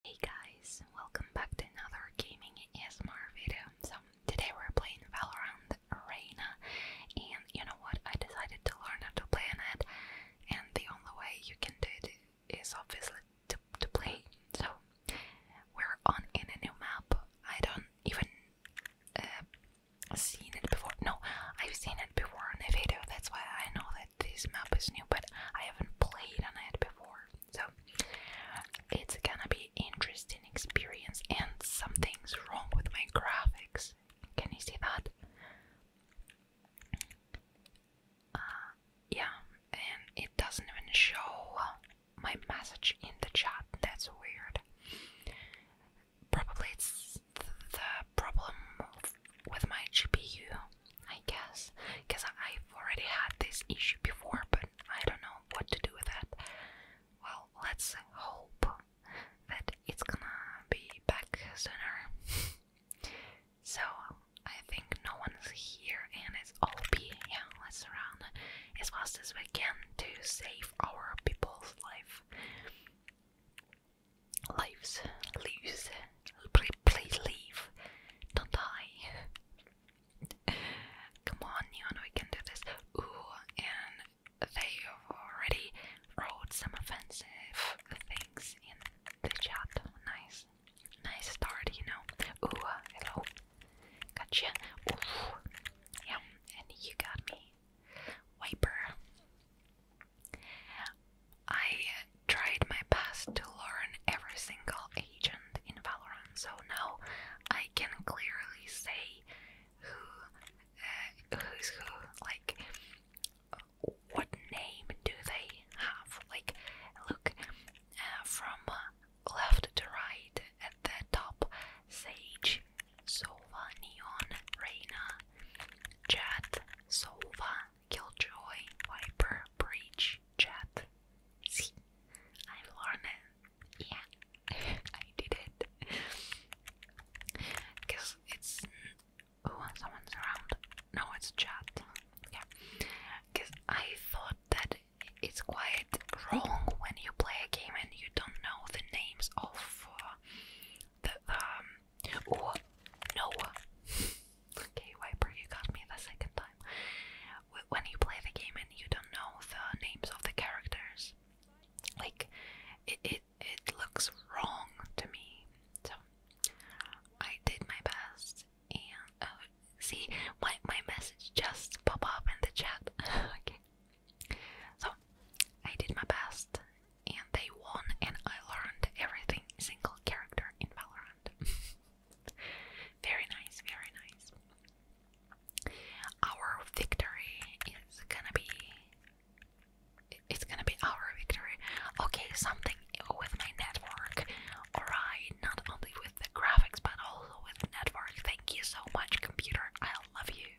Hey guys, welcome back to another gaming ASMR video. So today we're playing Valorant Arena and you know what, I decided to learn how to play on it and the only way you can do it is obviously to, to play. So we're on in a new map. I don't even uh, seen it before. No, I've seen it before in a video, that's why I know that this map is new, but I haven't played on it before. So it's gonna be interesting experience and something's wrong with my graphics. Can you see that? Uh, yeah, and it doesn't even show my message in the chat. That's weird. Probably it's the problem with my GPU I guess, because I've already had this issue before, but I don't know what to do with that. Well, let's hope that it's gonna be back sooner. so, I think no one's here and it's OP. Yeah, let's run as fast as we can to save our people's life. Lives, lives, Please, leave. Don't die. Come on, Neon, we can do this. Ooh, and they already wrote some offensive things in the chat. Nice. Nice start, you know. Ooh, hello. Gotcha. Ooh. Yeah, and you got me. Wiper. I tried my best to learn every single agent in Valorant, so now I can clearly say who uh, who's who, like what name do they have? Like, look uh, from left to right at the top: Sage, Sova, Neon, Reina, Jet, Sova, Killjoy, Viper, Breach, Chat. See, i am learning. Yeah, I did it. Because it's. Oh, someone's around. No, it's Chat. Yeah. Because I thought that it's quite wrong when you play a game and you don't know the names of uh, the. Um, Oh no! okay, Wiper, you got me the second time. When you play the game and you don't know the names of the characters, like it, it, it looks wrong to me. So I did my best, and uh, see my my message just pop up in the chat. okay, so I did my best, and they won, and I learned everything single character in Valorant. very nice, very nice. Our victory is gonna be. It's gonna be our victory. Okay, something with my network. Alright, not only with the graphics but also with network. Thank you so much, computer. I love you.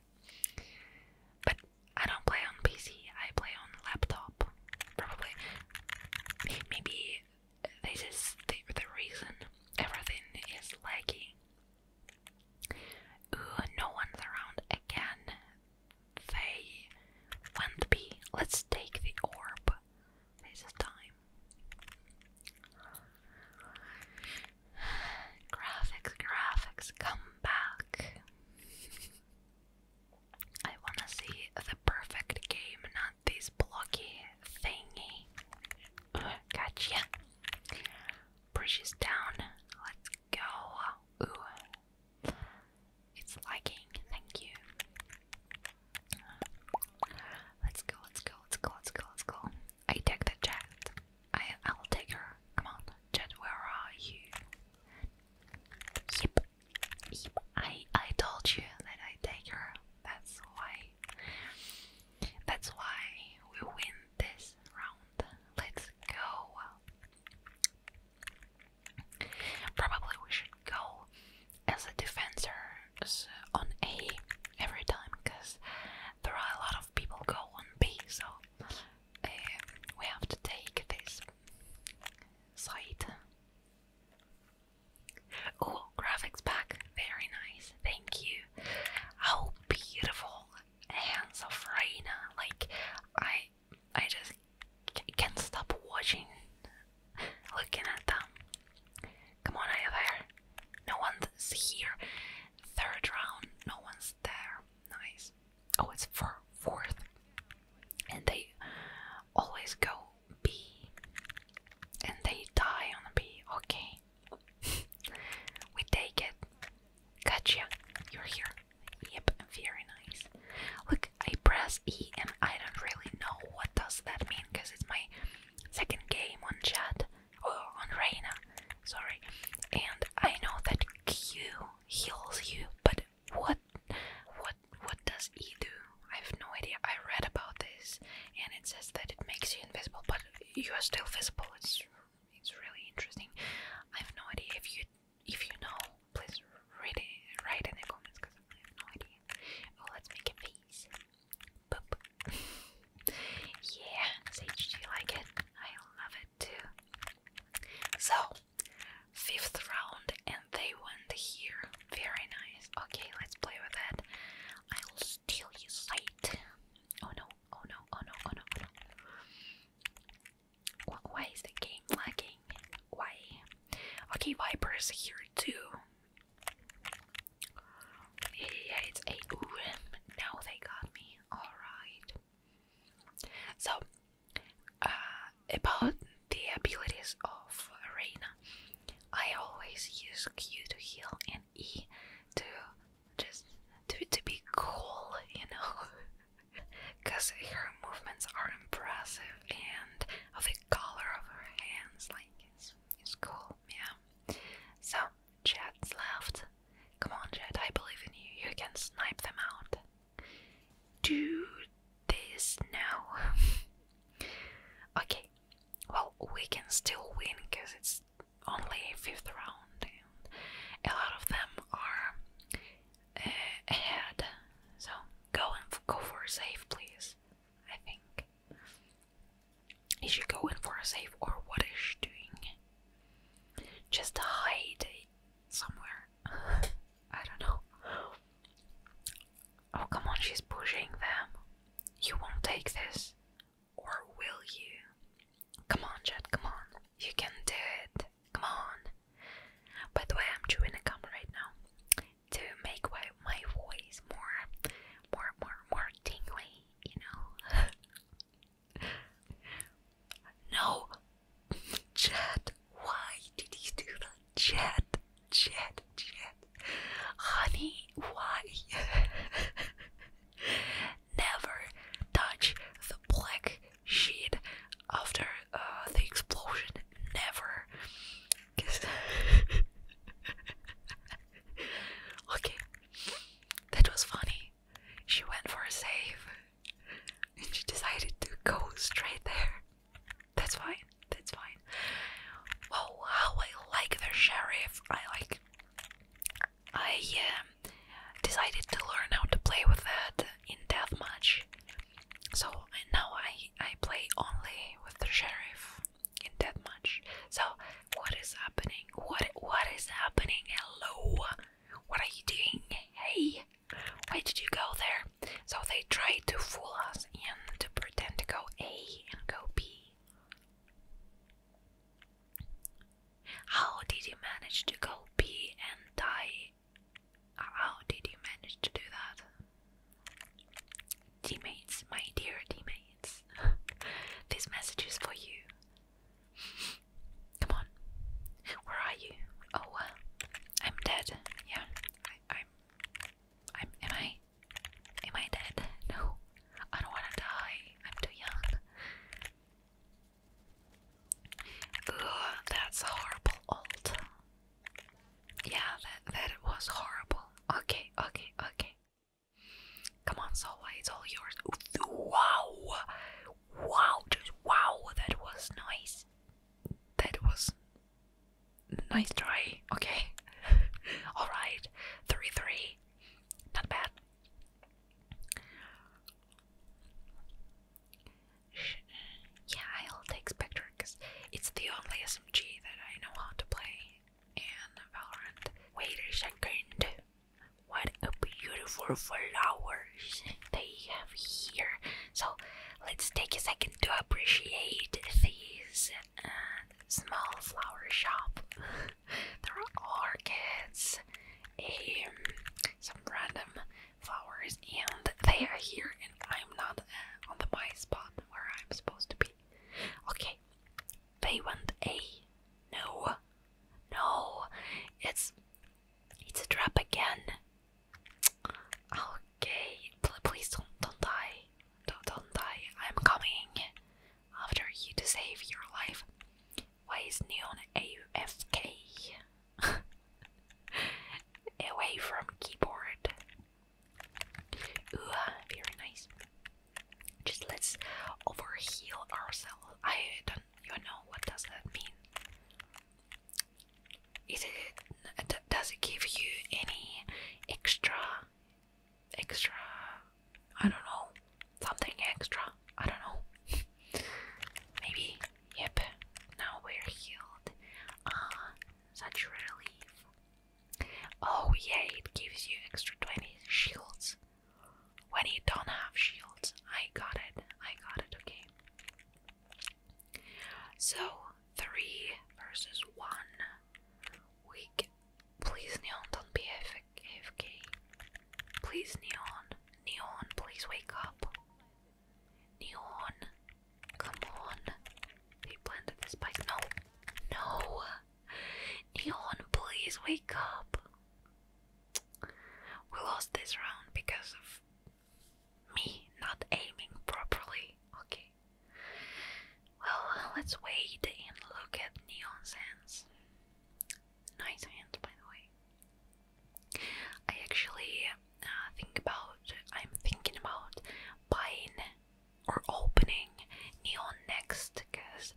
But I don't play on PC, I play on laptop. Probably Maybe this is the, reason everything is laggy. Ooh, no one's around again. They won't be. Let's take the orb. This is time. graphics, graphics, come back. I want to see the perfect game, not this blocky thingy. Gotcha. Pushes down. Let's go. It's lagging. Thank you. Let's go, let's go, let's go, let's go, let's go. I take the jet. I I'll take her. Come on, jet, where are you? I I told you that I take her. That's why. That's why we win this round. Let's go. Probably we should go as a defender on A every time, because there are a lot of people go on B. So eh, we have to take this site. Oh, graphics pack, very nice, thank you. How oh, beautiful hands of Raina! Like I, I just can't stop watching, looking at them. Come on, I have hair. No one's here. Third round, no one's there. Nice oh it's for fourth and they always go B and they die on B okay we take it gotcha you're here yep very nice look I press E and I don't really know what does that mean because it's my second game on chat or oh, on Reina sorry and I know that Q heals you but what what what does E do? I have no idea. I read about this and it says that it makes you invisible, but you are still visible. It's it's really interesting. I have no idea if you if you know, please read it write in the comments because I have no idea. Oh let's make a face. yeah, Sage, do you like it? I love it too. So fifth round and they went here. Very nice. Okay, let's play with that. I'll steal his sight. Oh no, oh no, oh no, oh no, oh, Why is the game lagging? Why? Okay, Viper is here too. Yeah, it's a. now they got me. Alright. So, uh, about the abilities of Reina, I always use Q to heal and E to just to, to be cool, you know, because her movements are impressive and of the color of her hands, like it's, it's cool, yeah. So, Jet's left. Come on, Jet, I believe in you. You can snipe them out. Do this now. okay, well, we can still win because it's only fifth round, and a lot of them are uh, ahead. So go and go for a safe, please. I think Is she going for a safe, or what is she doing? Just hide somewhere. I don't know. Oh, come on, she's pushing them. You won't take this. Or will you? Come on, Jet, come on. You can do it. Come on. By the way, I'm chewing a gum right now to make my voice more, more, more, more tingly, you know. no, Chad, why did you do that? Chad, Chad, Chad. Honey, why? Never touch the black sheet after uh, the explosion. Never. okay, that was funny. She went for a save and she decided to go straight there. That's fine, that's fine. Oh, how I like the sheriff! I like. I um, decided to learn how to play with that in deathmatch. So now I I play only with the sheriff in deathmatch. So what is happening? What what is happening? Hello, what are you doing? Hey, why did you go there? So they tried to fool us and to pretend to go A and go B. How did you manage to go B and die? How did you manage to do that? Teammates, my dear teammates, this message is for you. Come on. Where are you? Oh, uh, I'm dead. Yeah, I, I'm. I'm. Am I? Am I dead? No, I don't want to die. I'm too young. Ugh, that's horrible. Old. Yeah, that that was horrible. Okay, okay, okay. Come on, Solway, it's all yours. Wow, wow, just wow, that was nice. That was nice try. Okay, all right, three three, not bad. Yeah, I'll take Spectre because it's the only SMG that I know how to play in Valorant. Wait a second. What a beautiful flowers they have here. So let's take a second to appreciate these uh, small flower shop. there are orchids, um, some random flowers, and they are here. And I'm not uh, on the my spot where I'm supposed to be. Okay, they want a no, no. It's it's a trap again. Ah, okay, please don't don't die. Don't don't die. I'm coming after you to save your life. Why is Neon AFK? Away from keyboard. very nice. Just let's overheal ourselves. I do you know what does that mean? Is it does it give you any extra extra I don't know something extra I don't know maybe yep now we're healed ah such relief oh yeah it gives you extra 20 shields when you don't have shields, I got it. I got it, okay. So, three versus one. Weak. Please, Neon, don't be AFK. Please, Neon. Neon, please wake up. Neon. Come on. They planted this bike. No. No. Neon, please wake up we lost this round because of me not aiming properly. Okay. Well, let's wait and look at Neon Sands. Nice hands, by the way. I actually uh, think about, I'm thinking about buying or opening Neon next because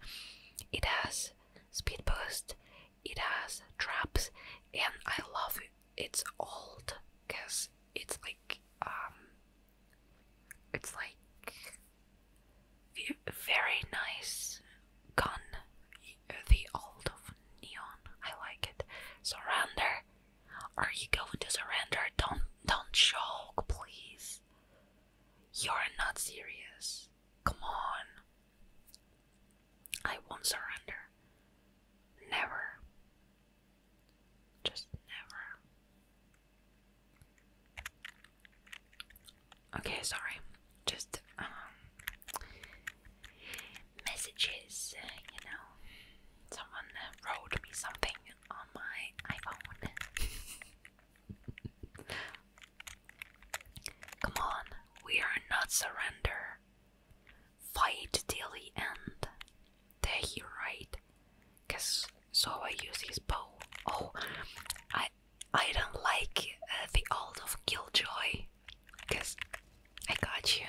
it has speed boost, it has traps, and I love it. It's old because it's like um, it's like very nice gun. The old of neon. I like it. Surrender. Are you going to surrender? Don't don't choke, please. You're not serious. Come on. I won't surrender. Never. Just never. Okay, sorry. Just um, messages, you know. Someone wrote me something on my iPhone. Come on, we are not surrender. Fight till the end. There he right. Cause so I use his bow. Oh, I I don't like uh, the old of Killjoy. Cause I got you.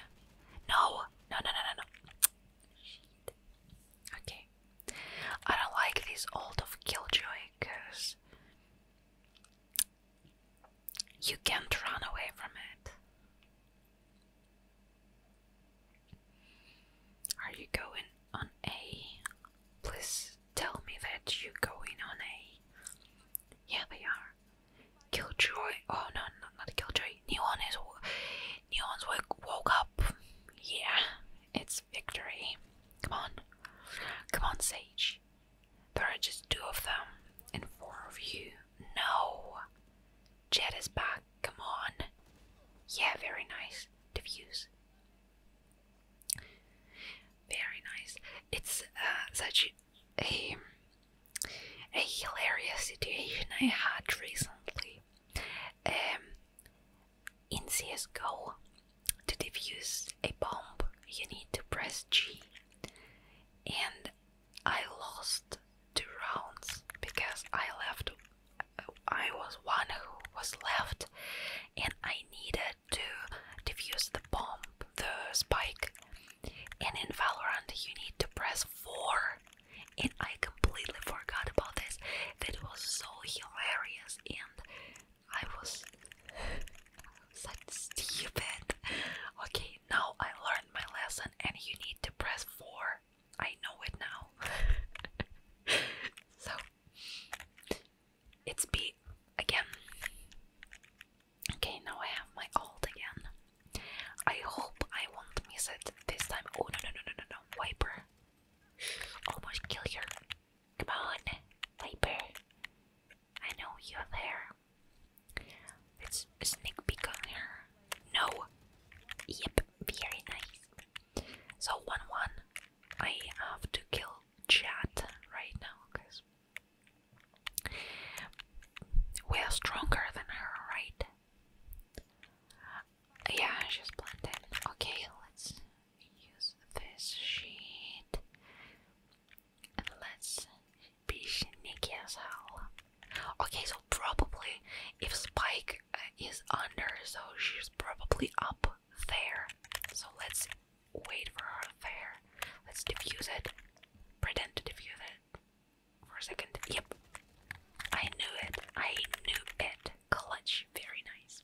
No, no, no, no, no, no. Okay. I don't like this old of Killjoy. Cause you can't run away from it. Are you going on A? Please tell me that you're going on A. Yeah, they are. Killjoy. Oh no, no not Killjoy. Neon is. Neon's woke, woke up. Yeah, it's victory. Come on. Come on, Sage. There are just two of them and four of you. No! Jet is back. Come on. Yeah, very nice. Diffuse. Very nice. It's uh, such a a hilarious situation I had recently. Um, in CSGO, to defuse a bomb, you need to press G. And I lost two rounds because I left. I was one who was left, and I needed to defuse the bomb, the spike. And in Valorant, you need to press 4. And I completely forgot about this. That was so hilarious, and I was such stupid. Okay, now I learned my lesson, and you need to press four. I know it now. so it's B again. Okay, now I have my alt again. I hope I won't miss it this time. Oh no no no no no! no. Wiper, almost kill her. Come on, Viper. I know you're there. Let's sneak peek her. No. Yep, very nice. So one one. I have to kill Chat right now because we are stronger than her, right? Yeah, she's planted. Okay, let's use this sheet and let's be sneaky as hell. Okay, so probably if Spike uh, is under, so she's probably up there. So let's wait for her there. Let's diffuse it. Pretend to diffuse it for a second. Yep. I knew it. I knew it. Clutch. Very nice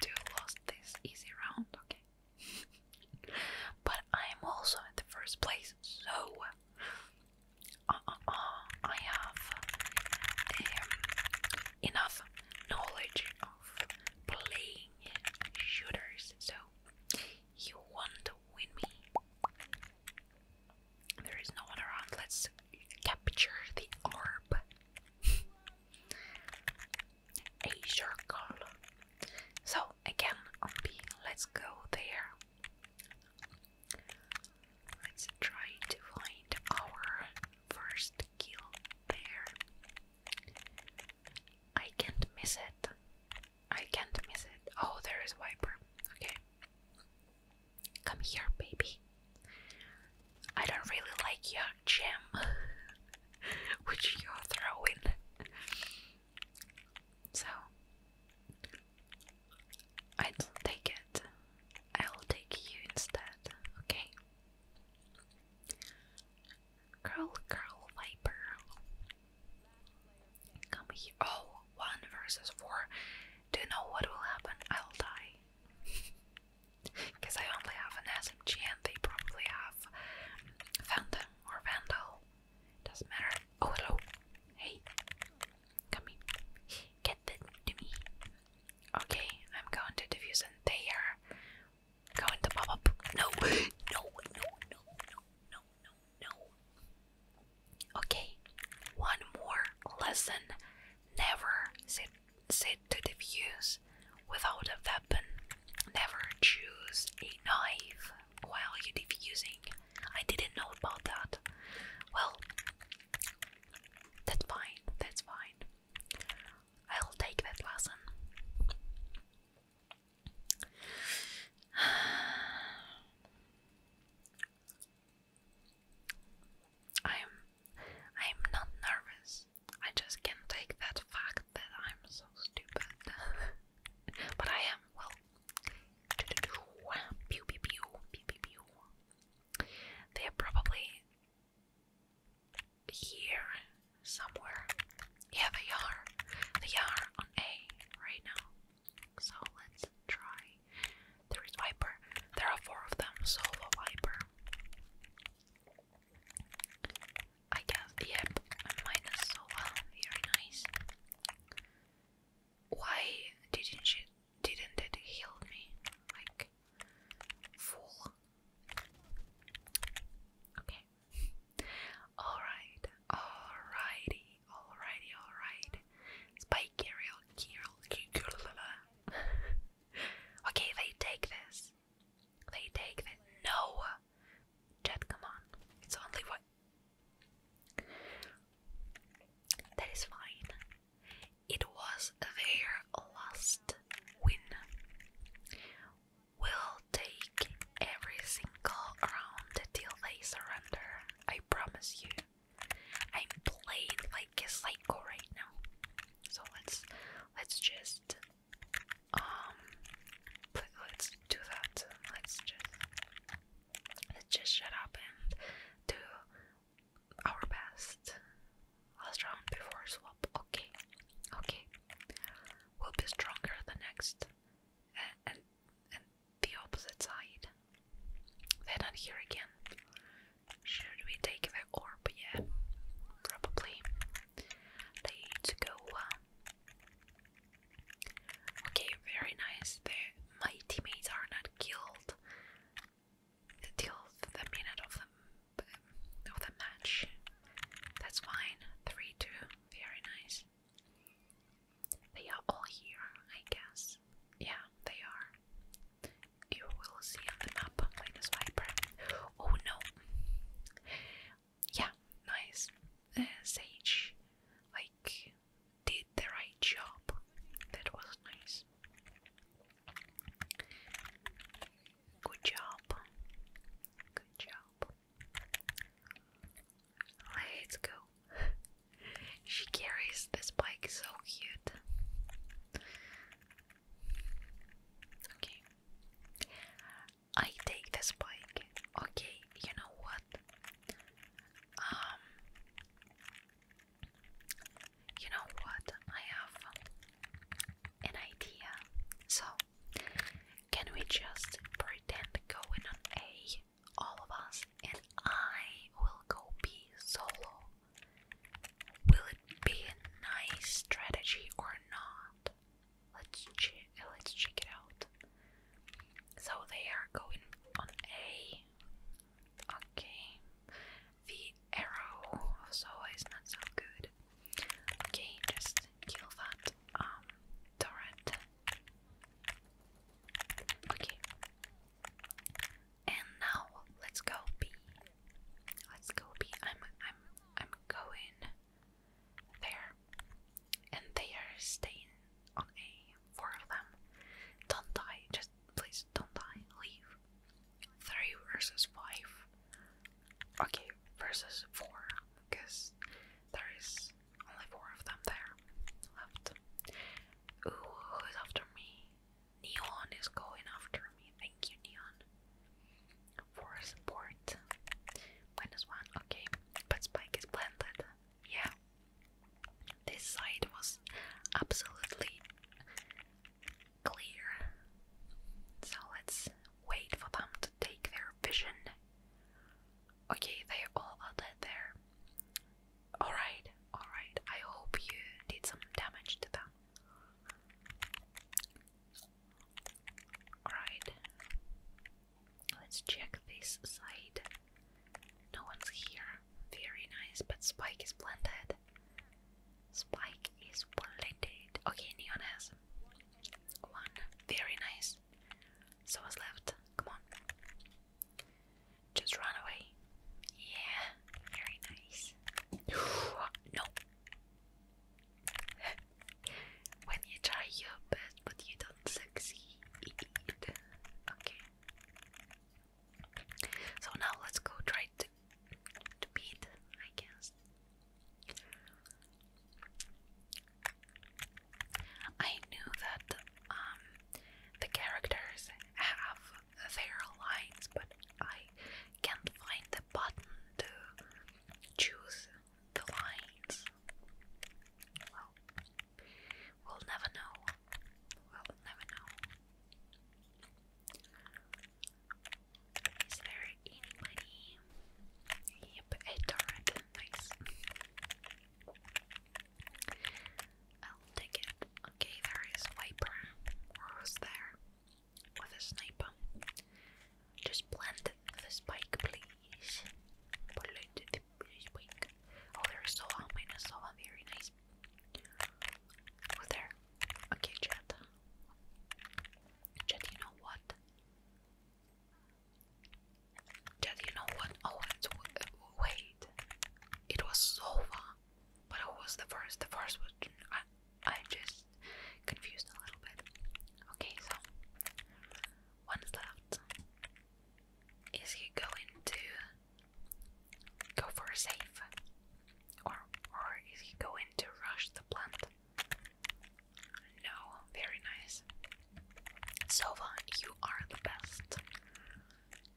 to lose this easy round, okay? but I'm also in the first place, so uh, uh, uh, I have um, enough knowledge of playing shooters, so you want to win me. There is no one around. Let's capture the orb. a circle. So again on B, let's go there. Let's try to find our first kill there. I can't miss it. I can't miss it. Oh, there is Viper. Okay. Come here, baby. I don't really like your gem, which you're throwing. So, I don't take it. I'll take you instead, okay? Girl, girl, viper. Come here. Oh, one versus four. Do you know what will happen? I'll die. Because I only have an SMG and they probably have Phantom or Vandal. Doesn't matter. Oh, hello. Hey. Come in. Get that to me. Okay, I'm going to defuse and they are going to pop up. no, no, no, no, no, no, no. Okay, one more lesson. Never sit said to the without a weapon, never choose a knife while you're defusing. I didn't know about that. Well, that's fine, that's fine. I'll take that lesson. I'm I'm not nervous. I just can't take that fact that I'm so stupid. but I am well They're probably here somewhere. Yeah, they are. They are on A right now. So let's try there is red viper. There are four of them, so the viper. I guess, yep, minus so well, very nice. Why didn't she, didn't it heal me? Like, full. Okay. Alright, alrighty, alrighty, alright. Spike Kirill, Kirill, Kirill. Okay, they take this. They take this. No! Jet, come on. It's only one. That is fine. It was their last win. We'll take every single round until they surrender. I promise you. I'm playing like a psycho right now. So let's let's just um let's do that. Let's just let's just shut up and do our best. Last round before swap. Okay, okay. We'll be stronger the next and and, the opposite side. they here again. Should we take the orb? Yeah, probably. Let's go. Uh, okay, very nice. The, my teammates are not killed until the minute of the, of the match. That's fine. 3 2. Very nice. They are all here, I guess. Yeah, they are you will see on the map Oh no! Yeah, nice. Uh, Sage, like, did the right job. That was nice. Good job. Good job. Let's go. She carries this bike so cute. Okay. I take this bike. Okay, you know what? Um You know what? I have an idea. So, can we just pretend going on A all of us and I will go be solo. Will it be a nice strategy or not? Let's check. Let's check it out. So they are going on A. Okay, the arrow also is not so good. Okay, just kill that um turret. Okay, and now let's go B. Let's go B. I'm I'm I'm going there. And they are staying on A. Four of them. Don't die. Just please don't die. Leave. Three versus five. Okay, versus four. Because there is only four of them there left. who's after me? Neon is going after me. Thank you, Neon. For support. Minus one, okay. But Spike is planted. Yeah. This side was absolutely clear. So let's wait for them to take their vision. Okay, they all are there. Alright, alright. I hope you did some damage to them. Alright. Let's check this side. No one's here. Very nice, but Spike is planted. Spike is planted. Okay, Neon has one. Very nice. So what's left? Come on. Just run away. Yeah, very nice. no. when you try your best but you don't succeed. Okay. So now let's go try to, beat, I guess. I knew that um, the characters have their lines, but I can't find the button to choose the lines. we'll never know. We'll never know. Is there anybody? Yep, a turret. Nice. I'll take it. Okay, there is Viper. Who's there? With a sniper. Just plant the spike, please. Plant the spike. Oh, there is Sova. Minus Sova. Very nice. Who's oh, there? Okay, chat. Chat, you know what? Chat, you know what? Oh, wait it was so far, but it was the first. The first was I, i just confused a little bit. Okay, so one's left. Is he going to go for a safe, or or is he going to rush the plant? No, very nice. Sova, you are the best.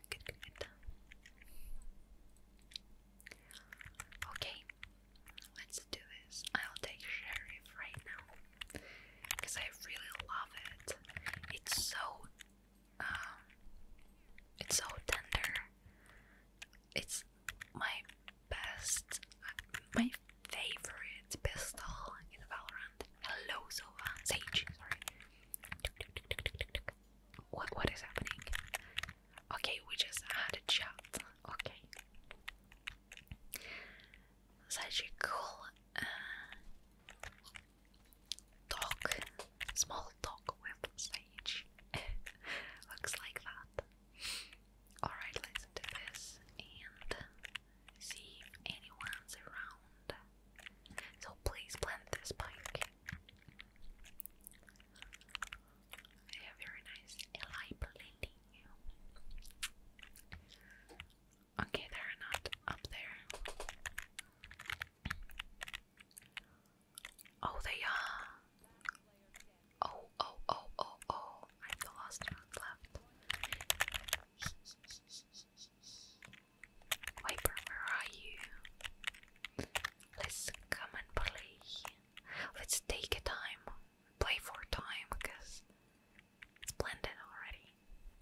Good, good, Okay, let's do this. I'll take Sheriff right now because I really love it. It's so, um, it's so tender. It's my best, my favorite pistol in Valorant. Hello, Silva. Sage, sorry. What what is happening? Okay, we just had a chat. Okay. Such uh, a cool talk, small talk with Looks like that. Alright, let's this and see anyone's around. So please blend this pink. Yeah, very nice. Eli blending Okay, they're not up there. Oh, they are. Oh, oh, oh, oh, oh. I'm the last one left. where are you? Let's come and play. Let's take a time. Play for time, because it's blended already.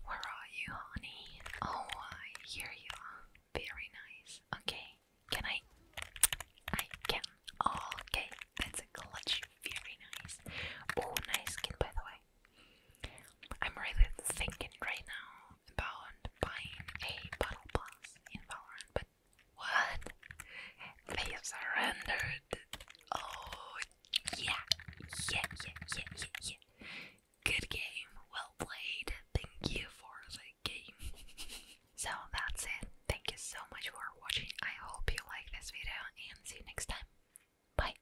Where are you, honey? Oh, I hear you. Very nice. Okay, can I? I can. Oh, okay, that's a clutch. Very nice. Oh, nice skin, by the way. I'm really thinking right now about buying a battle pass in Valorant, but what? They surrendered. Oh yeah, yeah, yeah, yeah, yeah, yeah. Good game, well played. Thank you for the game. so that's it. Thank you so much for watching. I hope you like this video and see you next time. Bye.